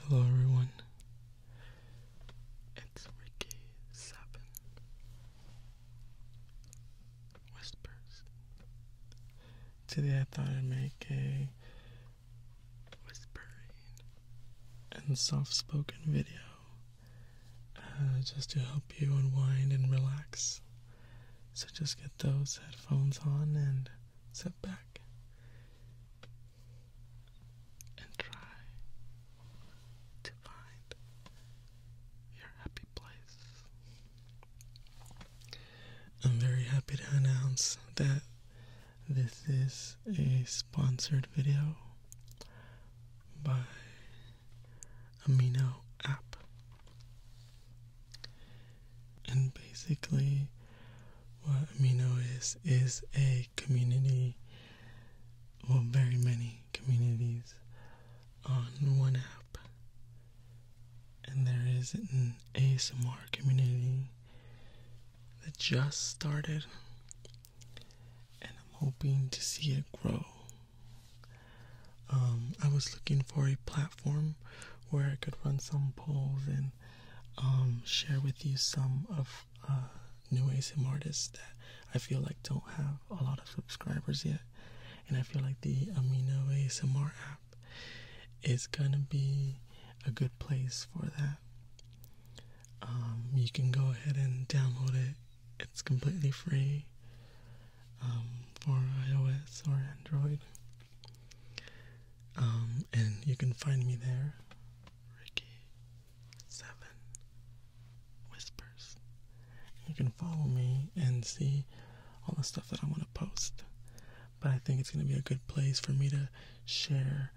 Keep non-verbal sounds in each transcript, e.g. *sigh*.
Hello everyone, it's Ricky Seven Whispers. Today I thought I'd make a whispering and soft spoken video uh, just to help you unwind and relax. So just get those headphones on and sit back and try to find your happy place. I'm very happy to announce that this is a sponsored video by Amino App. And basically, what Amino is is a community, well, very many communities on one app, and there is an ASMR community that just started, and I'm hoping to see it grow. Um, I was looking for a platform where I could run some polls and um, share with you some of uh, new ASMR artists that I feel like don't have a lot of subscribers yet. And I feel like the Amino ASMR app is gonna be a good place for that. Um, you can go ahead and download it, it's completely free um, for iOS or Android. Um, and you can find me there, Ricky Seven Whispers. You can follow me and see all the stuff that I want to post. But I think it's going to be a good place for me to share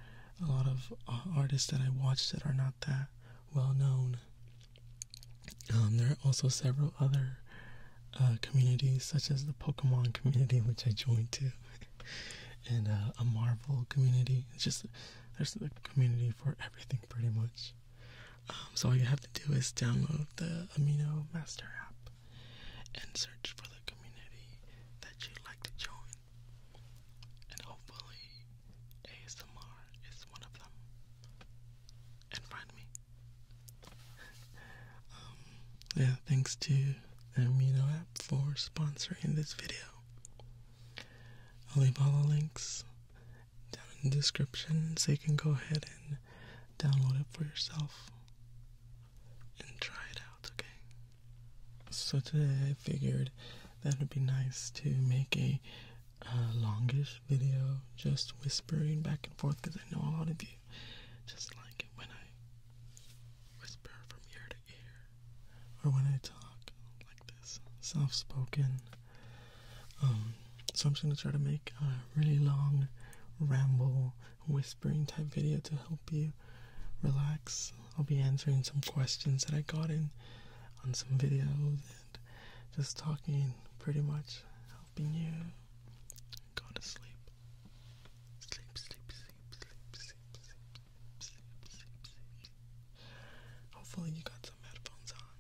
a lot of uh, artists that I watched that are not that well known. Um, there are also several other uh, communities, such as the Pokemon community, *laughs* which I joined too and a Marvel community. It's just there's a community for everything pretty much. Um, so all you have to do is download the Amino Master app and search for the community that you'd like to join. And hopefully, ASMR is one of them. And find me. *laughs* Um, yeah, thanks to the Amino for sponsoring this video. I'll leave all the links down in the description so you can go ahead and download it for yourself and try it out, okay? So today I figured that it would be nice to make a longish video just whispering back and forth because I know a lot of you just like it when I whisper from ear to ear, or when I talk like this, soft spoken. Um, so I'm just gonna try to make a really long ramble whispering type video to help you relax. I'll be answering some questions that I got in on some videos and just talking pretty much helping you go to sleep. Sleep, sleep, sleep, sleep, sleep, sleep, Hopefully, you got some headphones on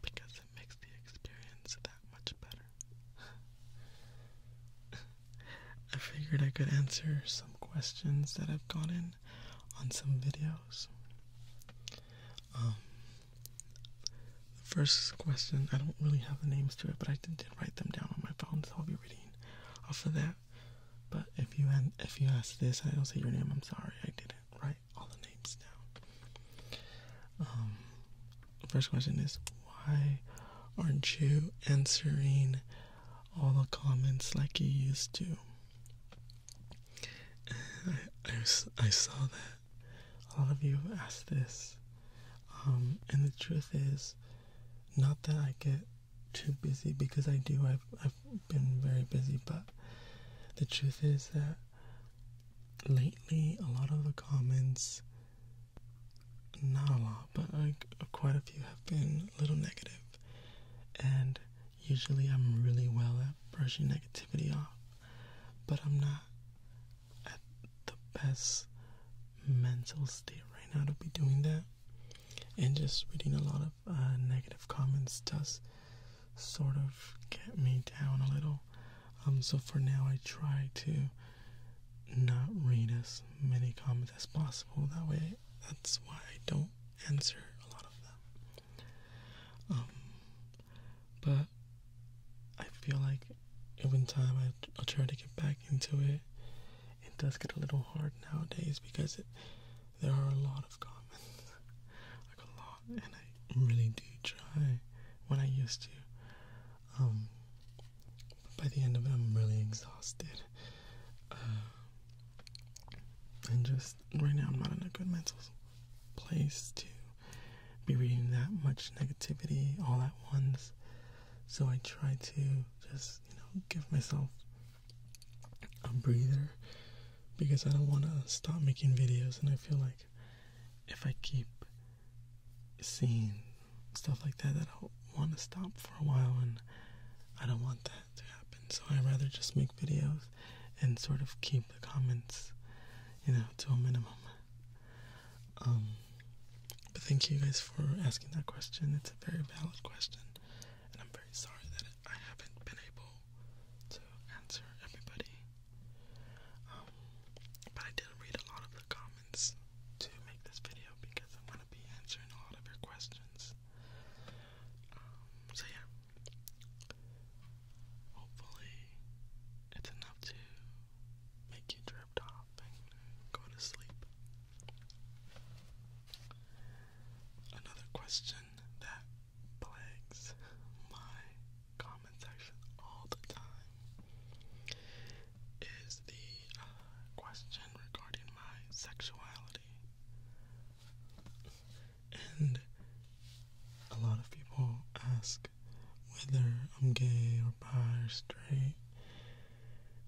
because it makes the experience that much better. *laughs* I figured I could answer some questions that I've gotten on some videos. Um, the first question, I don't really have the names to it, but I did write them down on my phone, so I'll be reading off of that. But if you if you ask this, I don't say your name. I'm sorry, I didn't write all the names down. Um, first question is why aren't you answering all the comments like you used to? I, I, saw that a lot of you have asked this, um, and the truth is, not that I get too busy because I do. I've I've been very busy, but the truth is that lately a lot of the comments not a lot, but like quite a few have been a little negative. And usually I'm really well at brushing negativity off, but I'm not at the best mental state right now to be doing that. And just reading a lot of uh, negative comments does sort of get me down a little. Um, so for now, I try to not read as many comments as possible. That way, that's why I don't answer a lot of them. Um, but I feel like even time I, I'll try to get back into it it does get a little hard nowadays because there are a lot of comments, *laughs* like a lot, and I really do try when I used to. Um, by the end of it, I'm really exhausted. Uh, and just right now, I'm not in a good mental place to be reading that much negativity all at once. So I try to just you know give myself a breather because I don't want to stop making videos and I feel like if I keep seeing stuff like that that I'll want to stop for a while and I don't want that to happen so I rather just make videos and sort of keep the comments you know to a minimum um, but thank you guys for asking that question. It's a very valid question, and I'm very sorry that I haven't been able to answer everybody. Um, but I did read a lot of the comments to make this video because I'm gonna be answering a lot of your questions. Um, so yeah, hopefully it's enough to make you drift off go to sleep. Another question that plagues my comment section all the time is the uh, question regarding my sexuality. And a lot of people ask whether I'm gay or bi or straight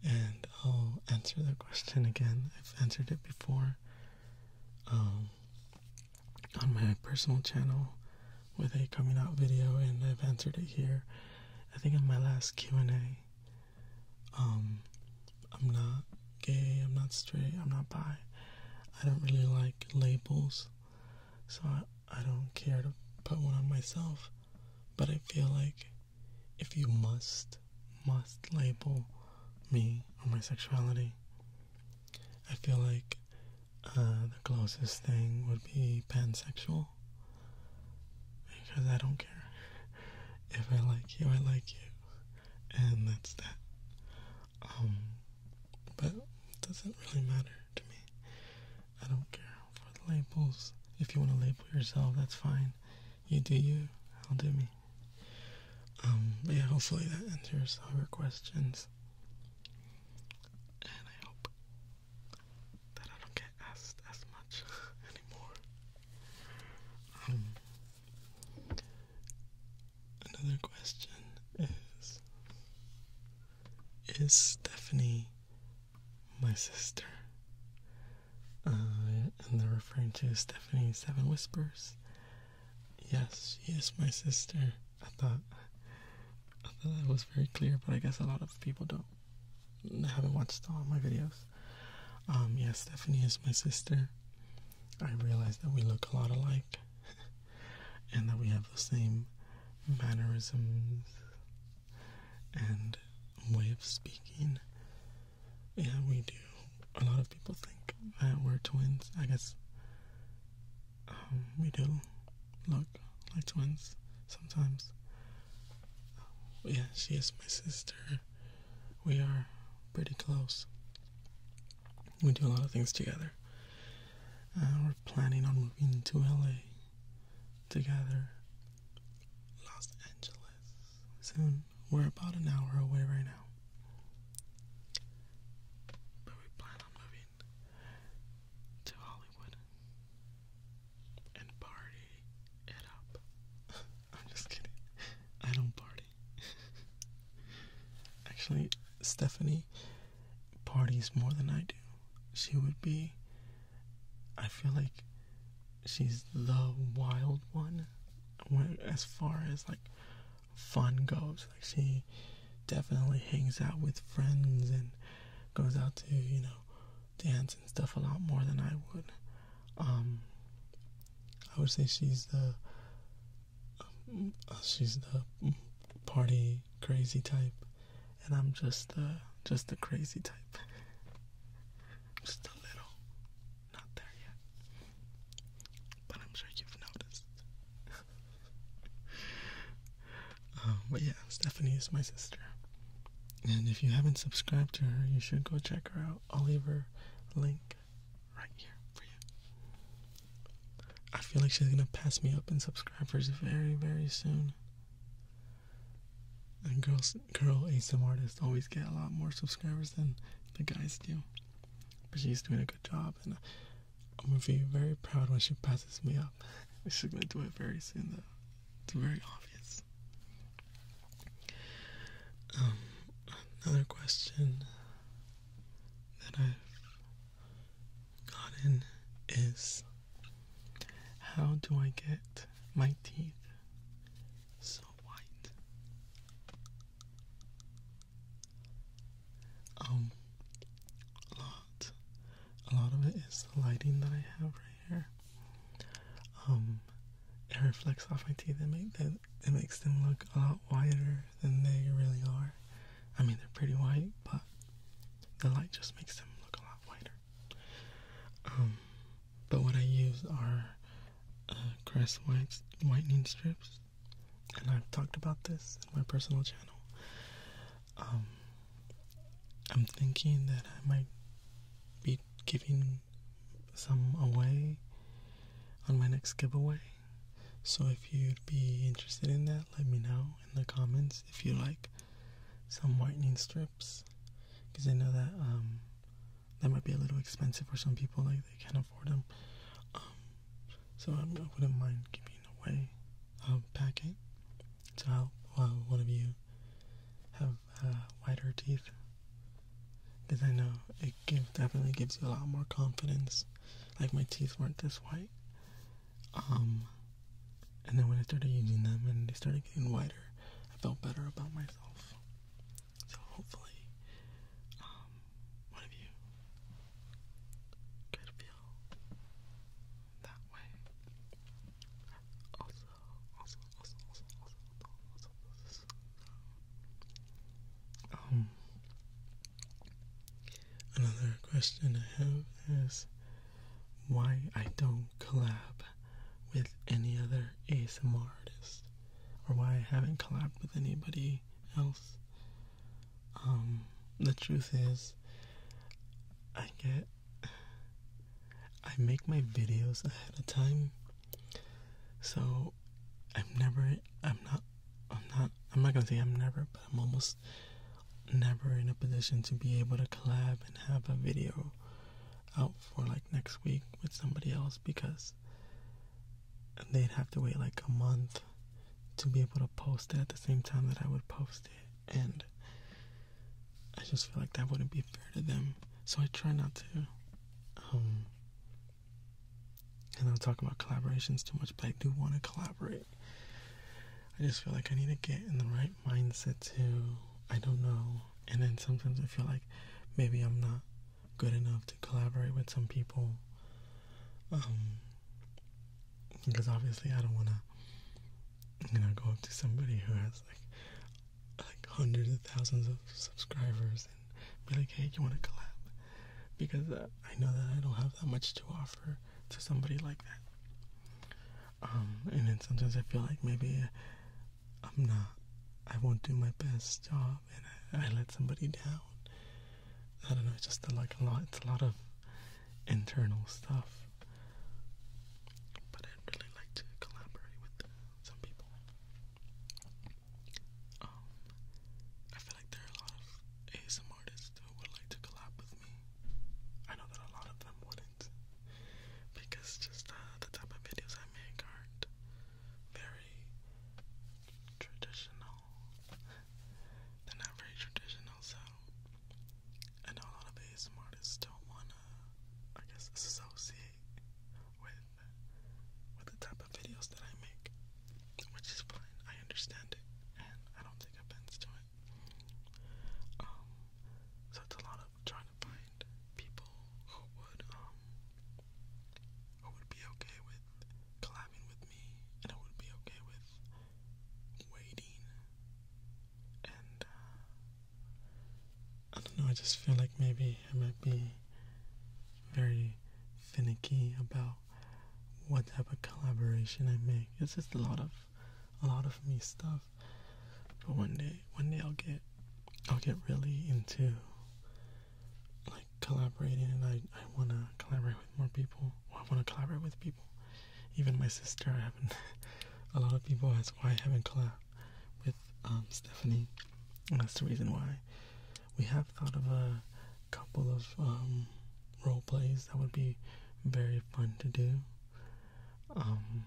and I'll answer the question again. I've answered it before um, on my personal channel with a coming out video, and I've answered it here. I think in my last Q and A. Um, I'm not gay. I'm not straight. I'm not bi. I don't really like labels, so I, I don't care to put one on myself. But I feel like if you must, must label me or my sexuality, I feel like uh, the closest thing would be pansexual. Because I don't care. *laughs* If I like you, I like you. And that's that. Um, but it doesn't really matter to me. I don't care for the labels. If you want to label yourself, that's fine. You do you, I'll do me. Um, but yeah, hopefully that answers all your questions. And I hope that I don't get asked as much *laughs* anymore. Um, another question is Is Stephanie my sister? Uh, and they're referring to Stephanie Seven Whispers. Yes, she is my sister. I thought, I thought that was very clear, but I guess a lot of people don't haven't watched all my videos. Um, yeah, Stephanie is my sister. I realize that we look a lot alike, *laughs* and that we have the same mannerisms, and way of speaking. Yeah, we do. A lot of people think that we're twins. I guess um, we do look like twins sometimes. Um, yeah, she is my sister. We are pretty close. We do a lot of things together. Uh, we're planning on moving to LA together. Los Angeles. Soon. We're about an hour away right now. But we plan on moving to Hollywood and party it up. *laughs* I'm just kidding. I don't party. *laughs* Actually, Stephanie parties more than I do. She would be, I feel like she's the wild one when, as far as like fun goes. Like she definitely hangs out with friends and goes out to, you know, dance and stuff a lot more than I would. Um, I would say she's the um, she's the party crazy type and I'm just the just the crazy type. Just a little. Not there yet. But I'm sure you've noticed. *laughs* Um, but yeah, Stephanie is my sister. And if you haven't subscribed to her, you should go check her out. I'll leave her link right here for you. I feel like she's gonna pass me up in subscribers very, very soon. And girls, girl ASM artists always get a lot more subscribers than the guys do. But she's doing a good job, and I'm gonna be very proud when she passes me up. She's gonna do it very soon, though. It's very obvious. Um, another question that I've gotten is how do I get my teeth so white. Um, a lot. A lot of it is the lighting that I have right here. Um, it reflects off my teeth and make them, it makes them look a lot whiter than they really are. I mean, they're pretty white, but the light just makes them look a lot whiter. Um, but what I use are uh, Crest whitening strips, and I've talked about this in my personal channel. Um, I'm thinking that I might be giving some away on my next giveaway. So if you'd be interested in that, let me know in the comments if you like some whitening strips because I know that um, that might be a little expensive for some people. Like they can't afford them. Um, so I'm, I would not mind giving away a um, packet to So while one of you have uh, whiter teeth. Because I know it definitely gives you a lot more confidence. Like my teeth weren't this white. Um, and then when I started using them and they started getting whiter, I felt better about myself. So hopefully, um, one of you could feel that way. Also, also, also, also, also, also, also, also. Um, another question I have is why I don't collab with any other ASMR artist or why I haven't collabed with anybody else. Um, the truth is, I get. I make my videos ahead of time, so I'm never. I'm not. I'm not. I'm not gonna say I'm never, but I'm almost never in a position to be able to collab and have a video out for like next week with somebody else because they'd have to wait like a month to be able to post it at the same time that I would post it and I just feel like that wouldn't be fair to them. So I try not to um and i don't talk about collaborations too much, but I do want to collaborate. I just feel like I need to get in the right mindset too. I don't know, and then sometimes I feel like maybe I'm not good enough to collaborate with some people. Um, because obviously I don't want to, you know, go up to somebody who has like like hundreds of thousands of subscribers and be like, hey, you want to collab? Because uh, I know that I don't have that much to offer to somebody like that. Um, and then sometimes I feel like maybe I'm not. I won't do my best job, and I, let somebody down. I don't know. It's just like a lot. It's a lot of internal stuff. But I'd really like to collaborate with some people. Um, I feel like there are a lot of ASM artists who would like to collab with me. I know that a lot of them wouldn't because just uh, the type of videos I make aren't very traditional. They're not very traditional, so I know a lot of ASM artists don't wanna, I guess, associate with with the type of videos that I make, which is fine. I understand it, and I don't take offense to it. Um, so it's a lot of trying to find people who would um who would be okay with collabing with me and who would be okay with waiting and uh, I don't know, I just feel like maybe I might be very finicky about what type of collaboration I make. It's just a lot of a lot of me stuff but one day, one day I'll get, I'll get really into like collaborating, and I I want to collaborate with more people. I want to collaborate with people. Even my sister, I haven't. *laughs* a lot of people ask why I haven't collabed with um, Stephanie. And that's the reason why. We have thought of a couple of um, role plays that would be very fun to do. Um,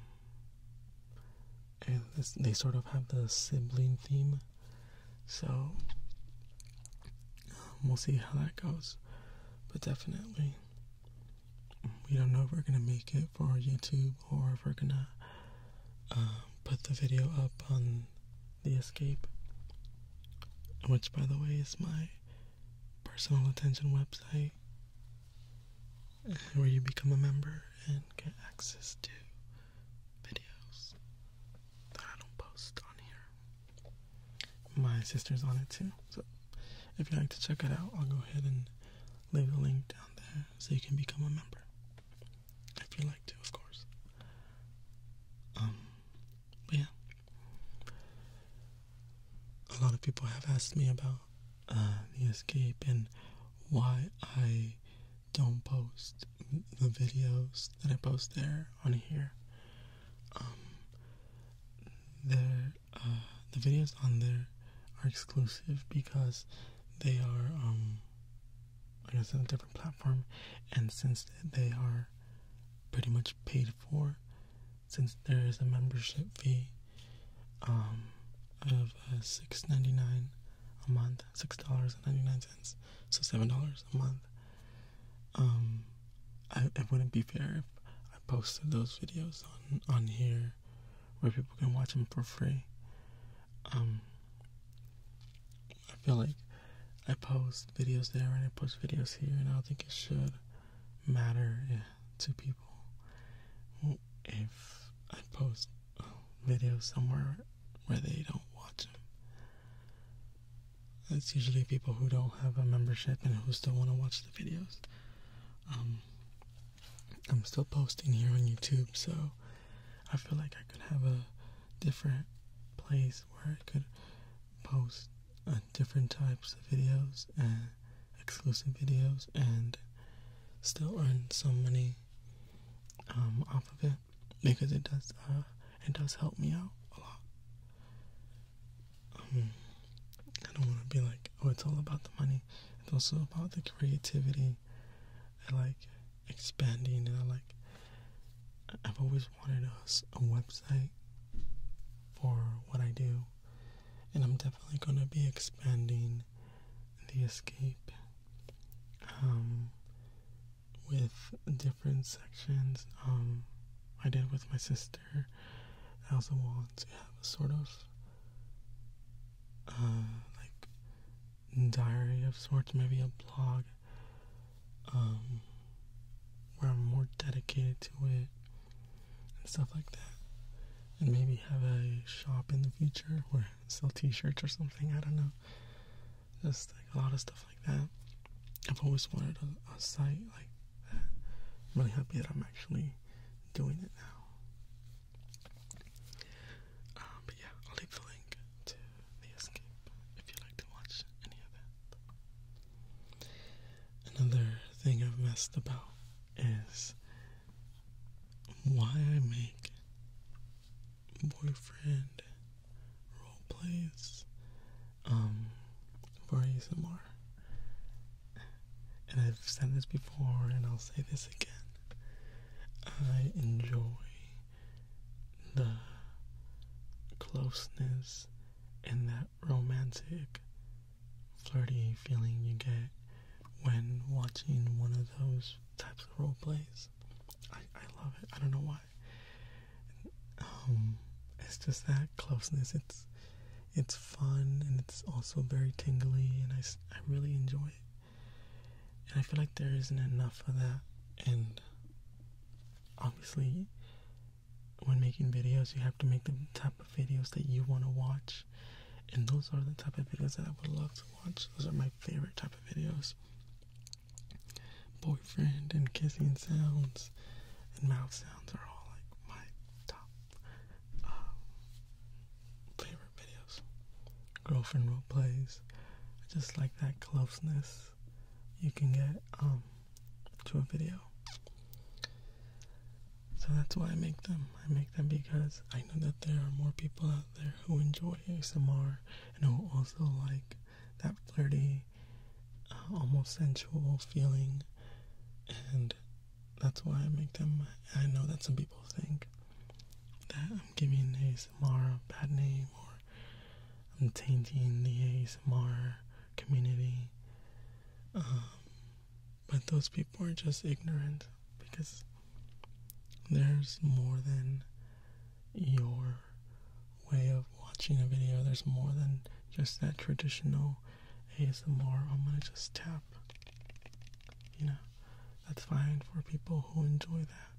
and they sort of have the sibling theme. So um, we'll see how that goes, but definitely we don't know if we're gonna make it for YouTube or if we're gonna um, put the video up on the escape, which by the way is my personal attention website where you become a member and get access to videos that I don't post on here. My sister's on it too, so if you'd like to check it out, I'll go ahead and leave a link down there so you can become a member. If you would like to, of course. Um, but yeah. A lot of people have asked me about the escape and why I don't post the videos that I post there on here. Um, there, uh, the videos on there are exclusive because they are, um, on a different platform, and since they are pretty much paid for, since there is a membership fee um, of uh, six ninety nine a month, six dollars and ninety nine cents, so seven dollars a month. Um, it wouldn't be fair if I posted those videos on on here where people can watch them for free. Um, I feel like I post videos there and I post videos here, and I don't think it should matter to people if I post video somewhere where they don't watch them. It's usually people who don't have a membership and who still want to watch the videos. Um, I'm still posting here on YouTube, so I feel like I could have a different place where I could post uh, different types of videos and exclusive videos and still earn so money um, off of it because it does uh, it does help me out a lot. Um, I don't want to be like, oh, it's all about the money. It's also about the creativity. I like expanding, and I like. I've always wanted a, a website for what I do, and I'm definitely gonna be expanding the escape um, with different sections. Um, I did with my sister. I also want to have a sort of uh, like diary of sorts, maybe a blog um, where I'm more dedicated to it and stuff like that. And maybe have a shop in the future where sell t-shirts or something. I don't know. Just like a lot of stuff like that. I've always wanted a, site like that. I'm really happy that I'm actually doing it now. Um, but yeah, I'll leave the link to the escape if you like to watch any of that. Another thing I've messed about is why I make boyfriend role plays um for ASMR. And I've said this before and I'll say this again. I enjoy the closeness and that romantic flirty feeling you get when watching one of those types of role plays. I, I love it. I don't know why. Um, it's just that closeness. It's it's fun and it's also very tingly, and I, I really enjoy it. And I feel like there isn't enough of that. And obviously, when making videos, you have to make the type of videos that you want to watch and those are the type of videos that I would love to watch. Those are my favorite type of videos. Boyfriend and kissing sounds and mouth sounds are all like my top um, favorite videos. Girlfriend role plays. I just like that closeness you can get um, to a video. So that's why I make them. I make them because I know that there are more people there who enjoy ASMR and who also like that flirty, uh, almost sensual feeling, and that's why I make them. I know that some people think that I'm giving ASMR a bad name or I'm tainting the ASMR community. Um, but those people are just ignorant because there's more than your way of watching a video. There's more than just that traditional ASMR. I'm gonna just tap. You know, that's fine for people who enjoy that.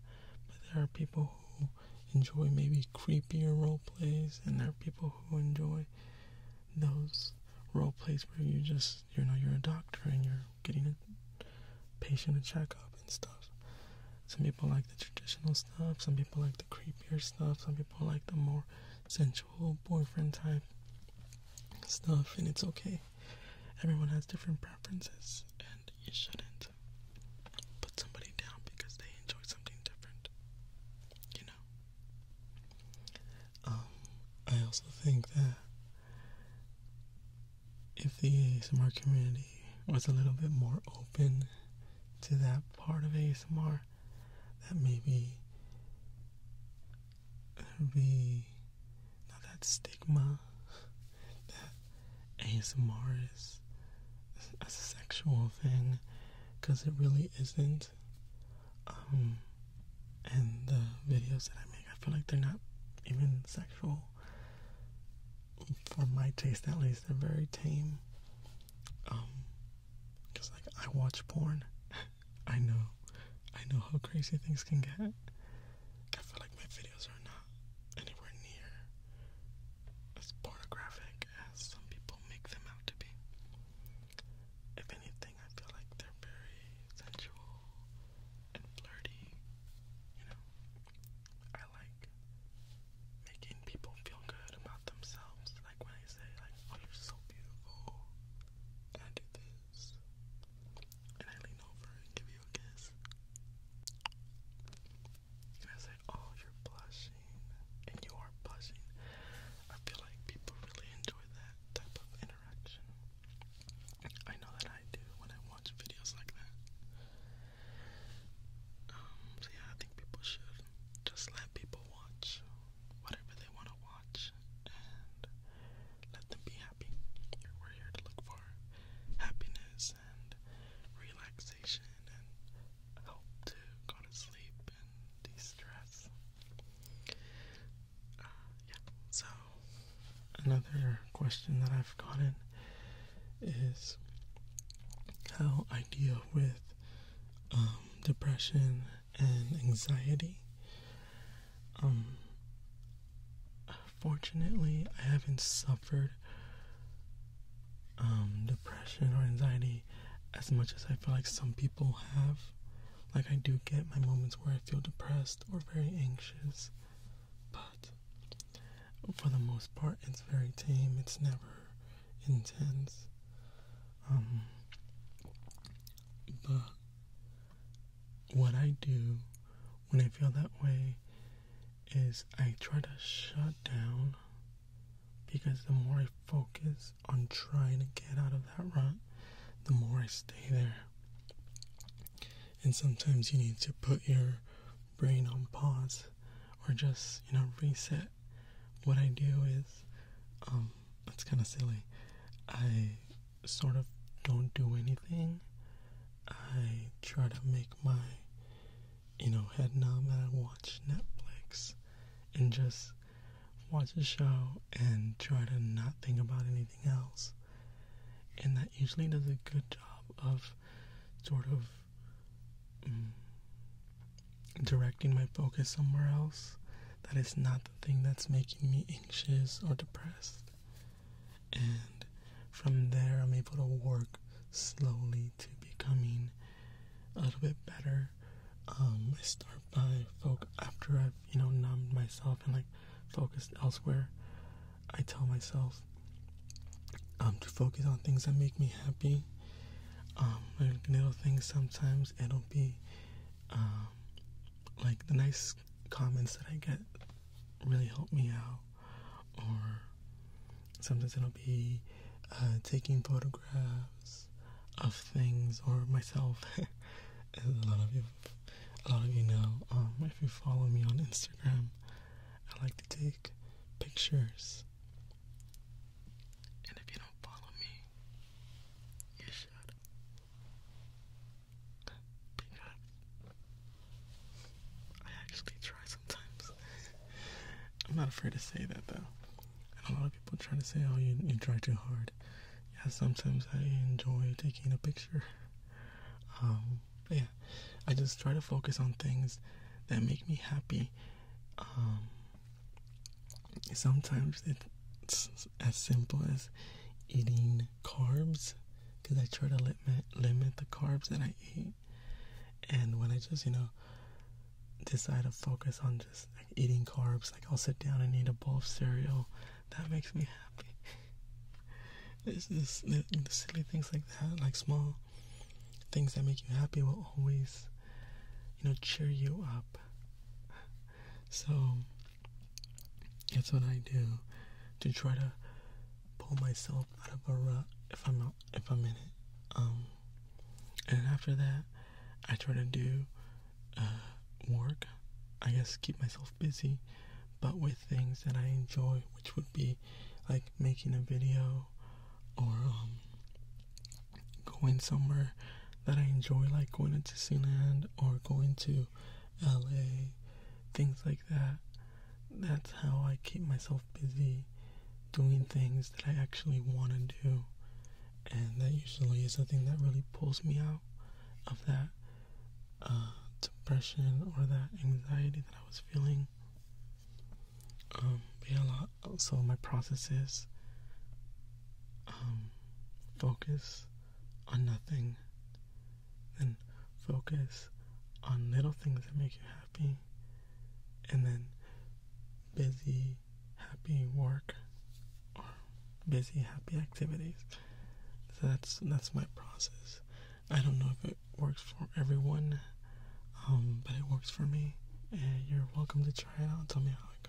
But there are people who enjoy maybe creepier role plays, and there are people who enjoy those role plays where you just you know you're a doctor and you're getting a patient a checkup and stuff. Some people like the traditional stuff, some people like the creepier stuff, some people like the more sensual boyfriend type stuff, and it's okay. Everyone has different preferences, and you shouldn't put somebody down because they enjoy something different. You know? Um, I also think that if the ASMR community was a little bit more open to that part of ASMR, that maybe there'd be not that stigma that ASMR is a sexual thing, because it really isn't. Um, and the videos that I make, I feel like they're not even sexual. For my taste, at least, they're very tame. Um, because like I watch porn, *laughs* I know, I know how crazy things can get. I feel like my videos are not anywhere near as pornographic as some people make them out to be. If anything, I feel like they're very sensual and flirty. You know, I like making people feel good about themselves. Like when I say, like, oh, you're so beautiful, and I do this, and I lean over and give you a kiss, and I oh, you're blushing, and you are blushing. I feel like people really enjoy that type of interaction. I know that I do when I watch videos like that. Um, so yeah, I think people should just let people watch whatever they want to watch and let them be happy. We're here to look for happiness and relaxation and help to go to sleep and de stress yeah. So another question that I've gotten is how I deal with um, depression and anxiety. Um, fortunately, I haven't suffered um, depression or anxiety as much as I feel like some people have. Like, I do get my moments where I feel depressed or very anxious, but for the most part, it's very tame. It's never intense. Um, but what I do when I feel that way is I try to shut down because the more I focus on trying to get out of that rut, the more I stay there and sometimes you need to put your brain on pause or just you know reset what i do is that's um, kind of silly i sort of don't do anything i try to make my you know head numb and i watch netflix and just watch a show and try to not think about anything else and that usually does a good job of sort of mm, directing my focus somewhere else that is not the thing that's making me anxious or depressed. And from there, I'm able to work slowly to becoming a little bit better. Um, I start by folk after I've you know, numb myself and like focused elsewhere, I tell myself um, to focus on things that make me happy. Um, little things sometimes it'll be um, like the nice comments that I get really help me out, or sometimes it'll be uh, taking photographs of things or myself. *laughs* a lot of you a lot of you know, um, if you follow me on Instagram, I like to take pictures. And if you don't follow me, you should. Because I actually try sometimes. I'm not afraid to say that though. a lot of people try to say, oh, you try too hard. Yeah, sometimes I enjoy taking a picture. Um, yeah, I just try to focus on things that make me happy. Um, sometimes it's as simple as eating carbs because I try to limit limit the carbs that I eat, and when I just you know decide to focus on just like eating carbs, like I'll sit down and eat a bowl of cereal that makes me happy. This is the, silly things like that, like small things that make you happy will always, you know, cheer you up. So that's what I do to try to pull myself out of a rut if I'm not, if I'm in it. Um, and after that, I try to do uh, work. I guess keep myself busy, but with things that I enjoy, which would be like making a video or um, going somewhere that I enjoy, like going to Disneyland or going to LA, things like that. That's how I keep myself busy doing things that I actually want to do. And that usually is the thing that really pulls me out of that uh, depression or that anxiety that I was feeling. Um, a lot. So my processes, um, focus on nothing, then focus on little things that make you happy, and then busy, happy work or busy, happy activities. So that's that's my process. I don't know if it works for everyone, um, but it works for me. And you're welcome to try it out. Tell me how it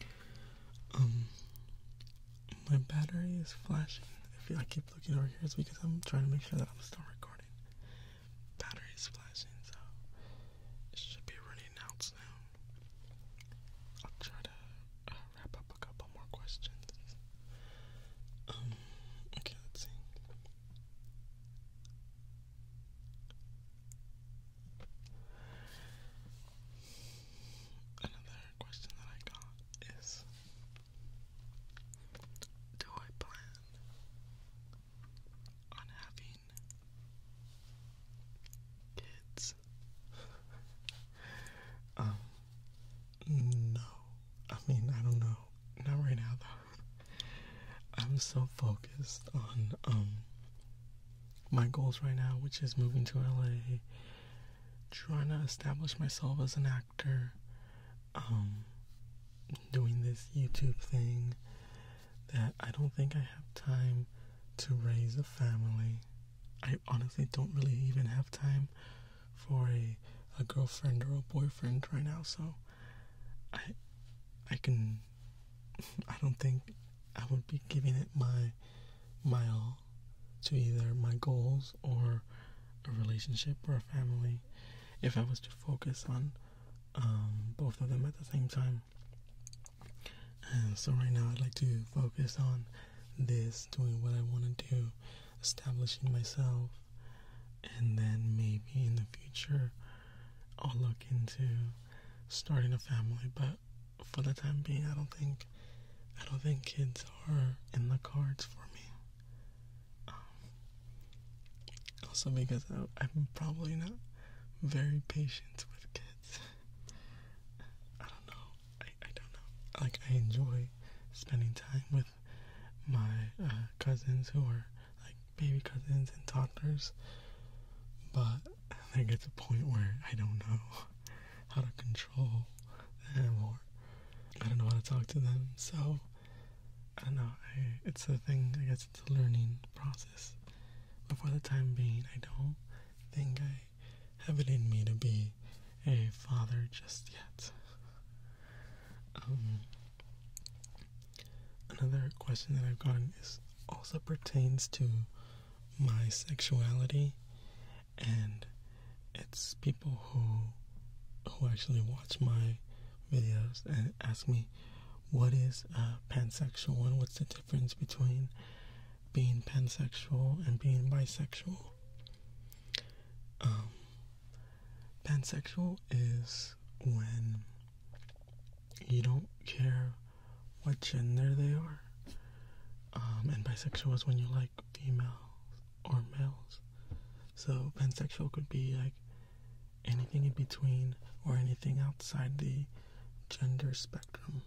goes. Um, my battery is flashing. If I keep looking over here, it's because I'm trying to make sure that I'm still recording. Battery is flashing, so it should be running out soon. I'll try to uh, wrap up a couple more questions. Um, okay, let's see. Another question that I got is Do I plan on having kids um, no. I mean, I don't know. Not right now, though. I'm so focused on um my goals right now, which is moving to LA, trying to establish myself as an actor, um, doing this YouTube thing that I don't think I have time to raise a family. I honestly don't really even have time for a a girlfriend or a boyfriend right now, so I I can *laughs* I don't think I would be giving it my my all to either my goals or a relationship or a family if I was to focus on um, both of them at the same time. And so right now I'd like to focus on this, doing what I want to do, establishing myself, and then maybe in the future I'll look into starting a family. But for the time being, I don't think I don't think kids are in the cards for me. Um, also because I'm probably not very patient with kids. I don't know. I, don't know. Like, I enjoy spending time with my uh, cousins who are like baby cousins and toddlers, but I get to a point where I don't know *laughs* how to control them or I don't know how to talk to them. So, I don't know. it's a thing, I guess it's a learning process. But for the time being, I don't think I Having me to be a father just yet. Um, another question that I've gotten is also pertains to my sexuality, and it's people who who actually watch my videos and ask me what is uh, pansexual and what's the difference between being pansexual and being bisexual um, pansexual. is when you don't care what gender they are. Um, and bisexual is when you like females or males. So pansexual could be like anything in between or anything outside the gender spectrum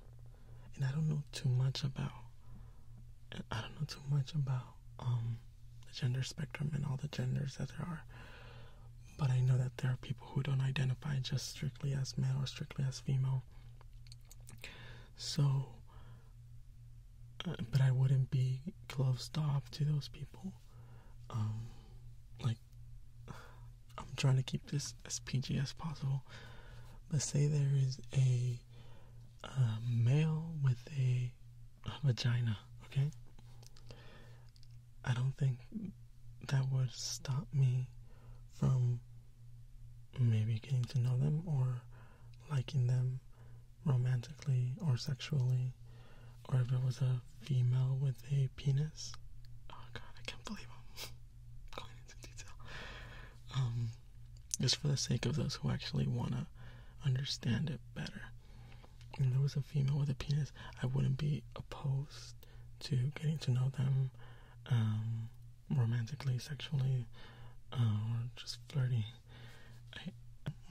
and I don't know too much about I don't know too much about um, the gender spectrum and all the genders that there are. But I know that there are people who don't identify just strictly as male or strictly as female. So, uh, but I wouldn't be closed off to those people. Um, like, I'm trying to keep this as PG as possible. But say there is a a male with a, a vagina, okay? I don't think that would stop me from maybe getting to know them or liking them romantically or sexually. Or if it was a female with a penis. Oh god, I can't believe I'm *laughs* going into detail. Um, just for the sake of those who actually want to understand it better. If there was a female with a penis, I wouldn't be opposed to getting to know them um, romantically, sexually, uh, or just flirty.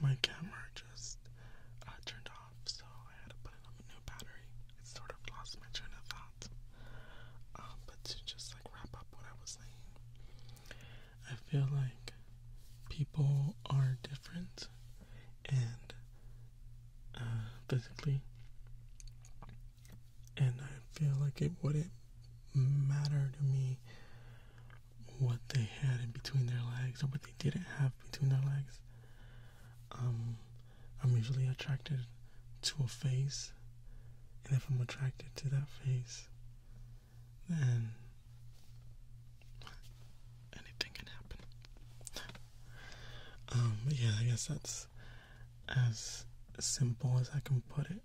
my camera just uh, turned off, so I had to put in a new battery. It sort of lost my train of thought. Uh, but to just like wrap up what I was saying, I feel like people are different and uh, physically, and I feel like it wouldn't matter to me what they had in between their legs or what they didn't have between their legs. Um, I'm usually attracted to a face and if I'm attracted to that face, then anything can happen. Um, yeah, I guess that's as simple as I can put it.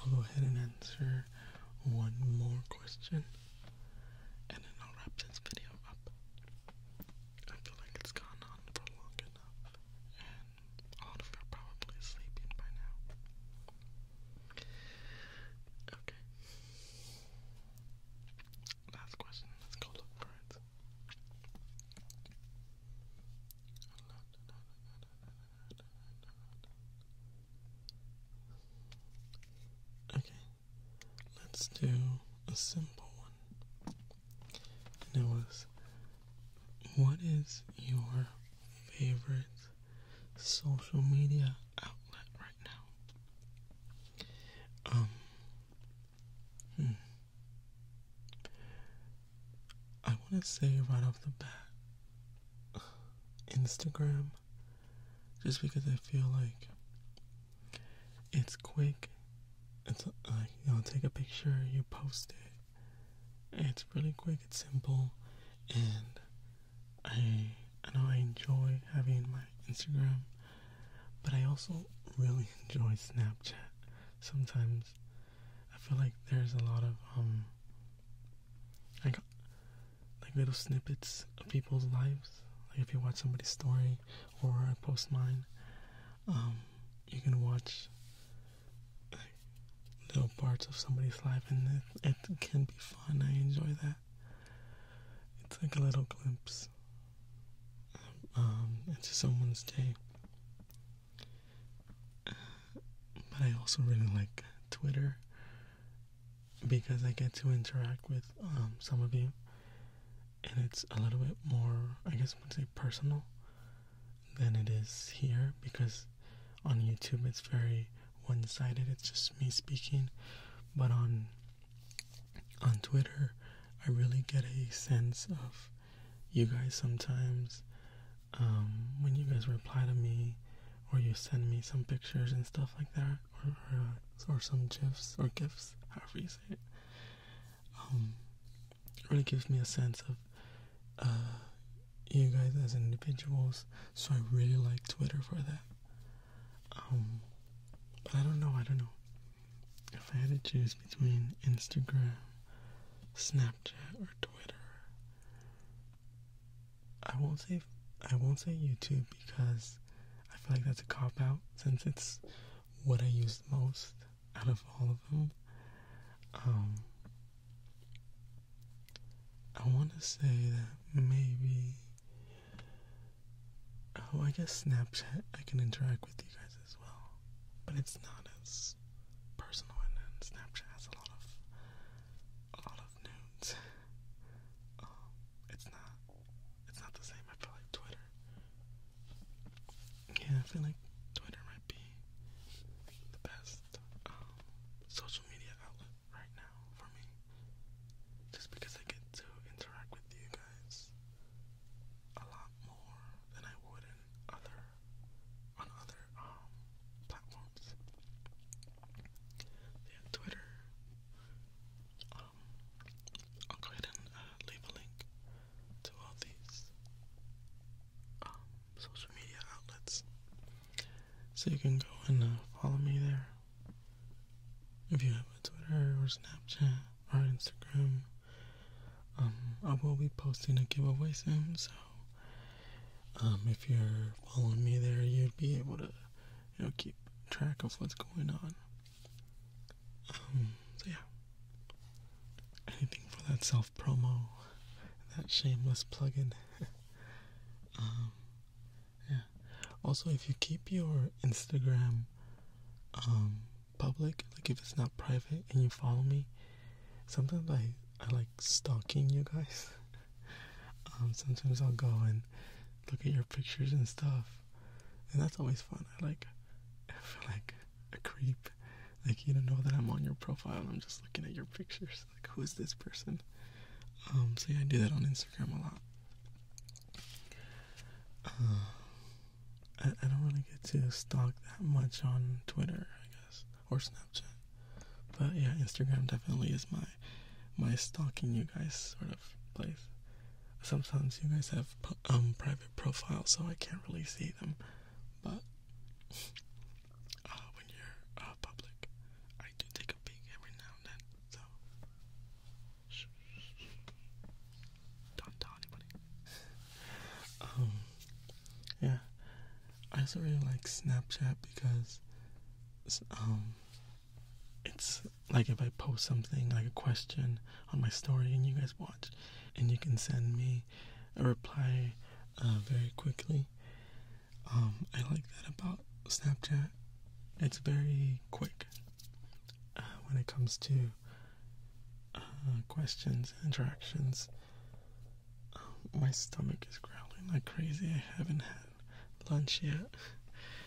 I'll go ahead and answer one more question and then I'll wrap this video up. I feel like it's gone on for long enough all of you are probably sleeping by now. Okay. Last question. Let's go look for it. Okay, let's do a simple one. it was what is your favorite social media outlet right now? Um, hmm. I want to say right off the bat *sighs* Instagram, just because I feel like it's quick. It's like, you know, take a picture, you post it it's really quick, it's simple, and I know I enjoy having my Instagram, but I also really *laughs* enjoy Snapchat. Sometimes I feel like there's a lot of um like like little snippets of people's lives. Like if you watch somebody's story or I post mine, um, you can watch little parts of somebody's life, and it, can be fun. I enjoy that. It's like a little glimpse um, into someone's day. but I also really like Twitter because I get to interact with um, some of you, and it's a little bit more, I guess, I would say personal than it is here because on YouTube it's very one sided, it's just me speaking. But on on Twitter I really get a sense of you guys sometimes um, when you guys reply to me or you send me some pictures and stuff like that or or, uh, some gifs or gifs however you say it um, really gives me a sense of uh, you guys as individuals. So I really like Twitter for that. Um, but I don't know. I don't know. If I had to choose between Instagram, Snapchat, or Twitter, I won't say I won't say YouTube because I feel like that's a cop out since it's what I use most out of all of them. Um, I want to say that maybe. Oh, I guess Snapchat, I can interact with you guys as well. But it's not as personal, and Snapchat has a lot of. a lot of nudes. um, it's not. it's not the same, I feel like Twitter. Yeah, I feel like Twitter might be the best. Um, social media outlet right now for me. Just because I get to interact with you guys a lot more than I would in other on other um, platforms. Yeah, Twitter. Um, I'll go ahead and uh, leave a link to all these social media outlets. So you can go and uh, follow me there. If you have a Twitter or Snapchat or Instagram, um, I will be posting a giveaway soon. So um, if you're following me there, you'd be able to you know keep track of what's going on. Um, so yeah anything for that self promo, that shameless plug in. *laughs* um, yeah. Also, if you keep your Instagram um, public, like if it's not private and you follow me, sometimes I, I like stalking you guys. *laughs* Um, sometimes I'll go and look at your pictures and stuff, and that's always fun. I like, I feel like a creep like you don't know that I'm on your profile. and I'm just looking at your pictures. Like, who is this person? Um, so yeah, I do that on Instagram a lot. Uh, I, don't really get to stalk that much on Twitter, I guess, or Snapchat. But yeah, Instagram definitely is my my stalking you guys sort of place. Sometimes you guys have um, private profiles, so I can't really see them. But *laughs* Uh, when you're uh, public. I do take a peek every now and then, so shh, don't tell anybody. um, yeah, I also really like Snapchat because um, it's like if I post something like a question on my story and you guys watch, and you can send me a reply uh, very quickly. Um, I like that about Snapchat. It's very quick uh, when it comes to uh, questions and interactions. Um, my stomach is growling like crazy. I haven't had lunch yet,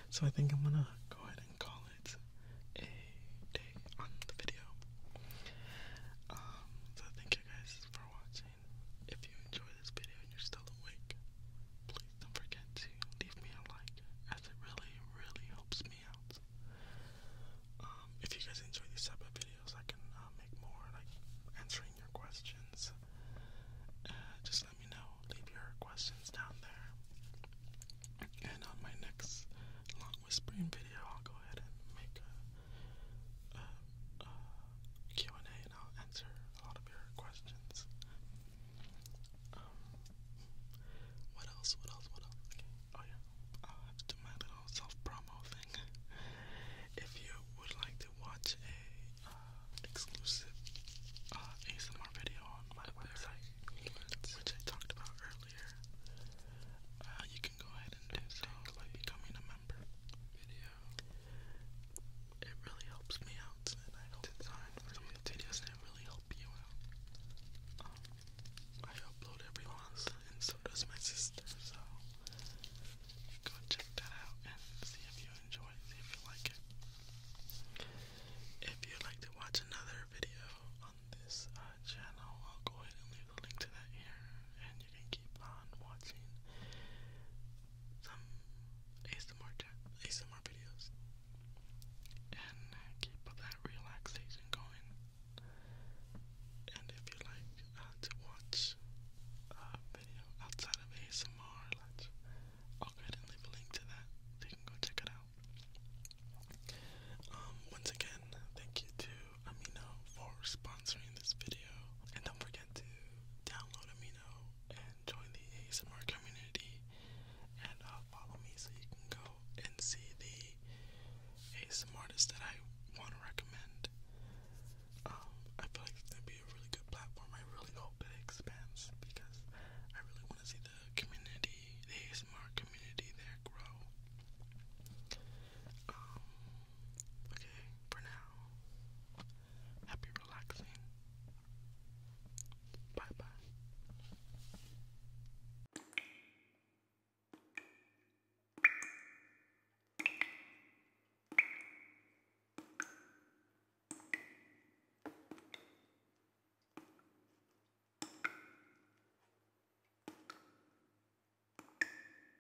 so I think I'm gonna go ahead and call it a day on the video. Um, so thank you guys for watching. If you enjoyed this video and you're still awake, please don't forget to leave me a like, as it really, really helps me out. Um, if you guys enjoy these type of videos, I can uh, make more, like answering your questions. Uh, just let me know. Leave your questions down there. And on my next long whispering video, I'll go ahead and make a Q&A and I'll answer a lot of your questions. Um, what else, what else, what else? Oh yeah, I'll have to do my little self-promo thing. if you would like to watch a uh, exclusive uh, ASMR video on my website, which I talked about earlier, uh, you can go ahead and do so by becoming a member. It really helps me out, and I hope some of the videos that really help you out. Um, I upload every once, so does my sister, so go check that out and see if you enjoy it, see if you like it. If you'd like to watch another video on this uh, channel, I'll go ahead and leave the link to that here, you can keep on watching some ASMR, videos and uh, keep that relaxation going. And if you like uh, to watch a uh, video outside of ASMR, I'll go ahead and leave a link to that you can go check it out. Um, once again, thank you to Amino for sponsoring this video. And don't forget to download Amino and join the ASMR community. And uh, follow me so you can go and see the ASMR artists that I want to recommend. Um, I feel like it's going to be a really good platform. I really hope it expands because I really want to see the community, the ASMR community there grow. Um, Okay, for now. Happy relaxing. Bye bye.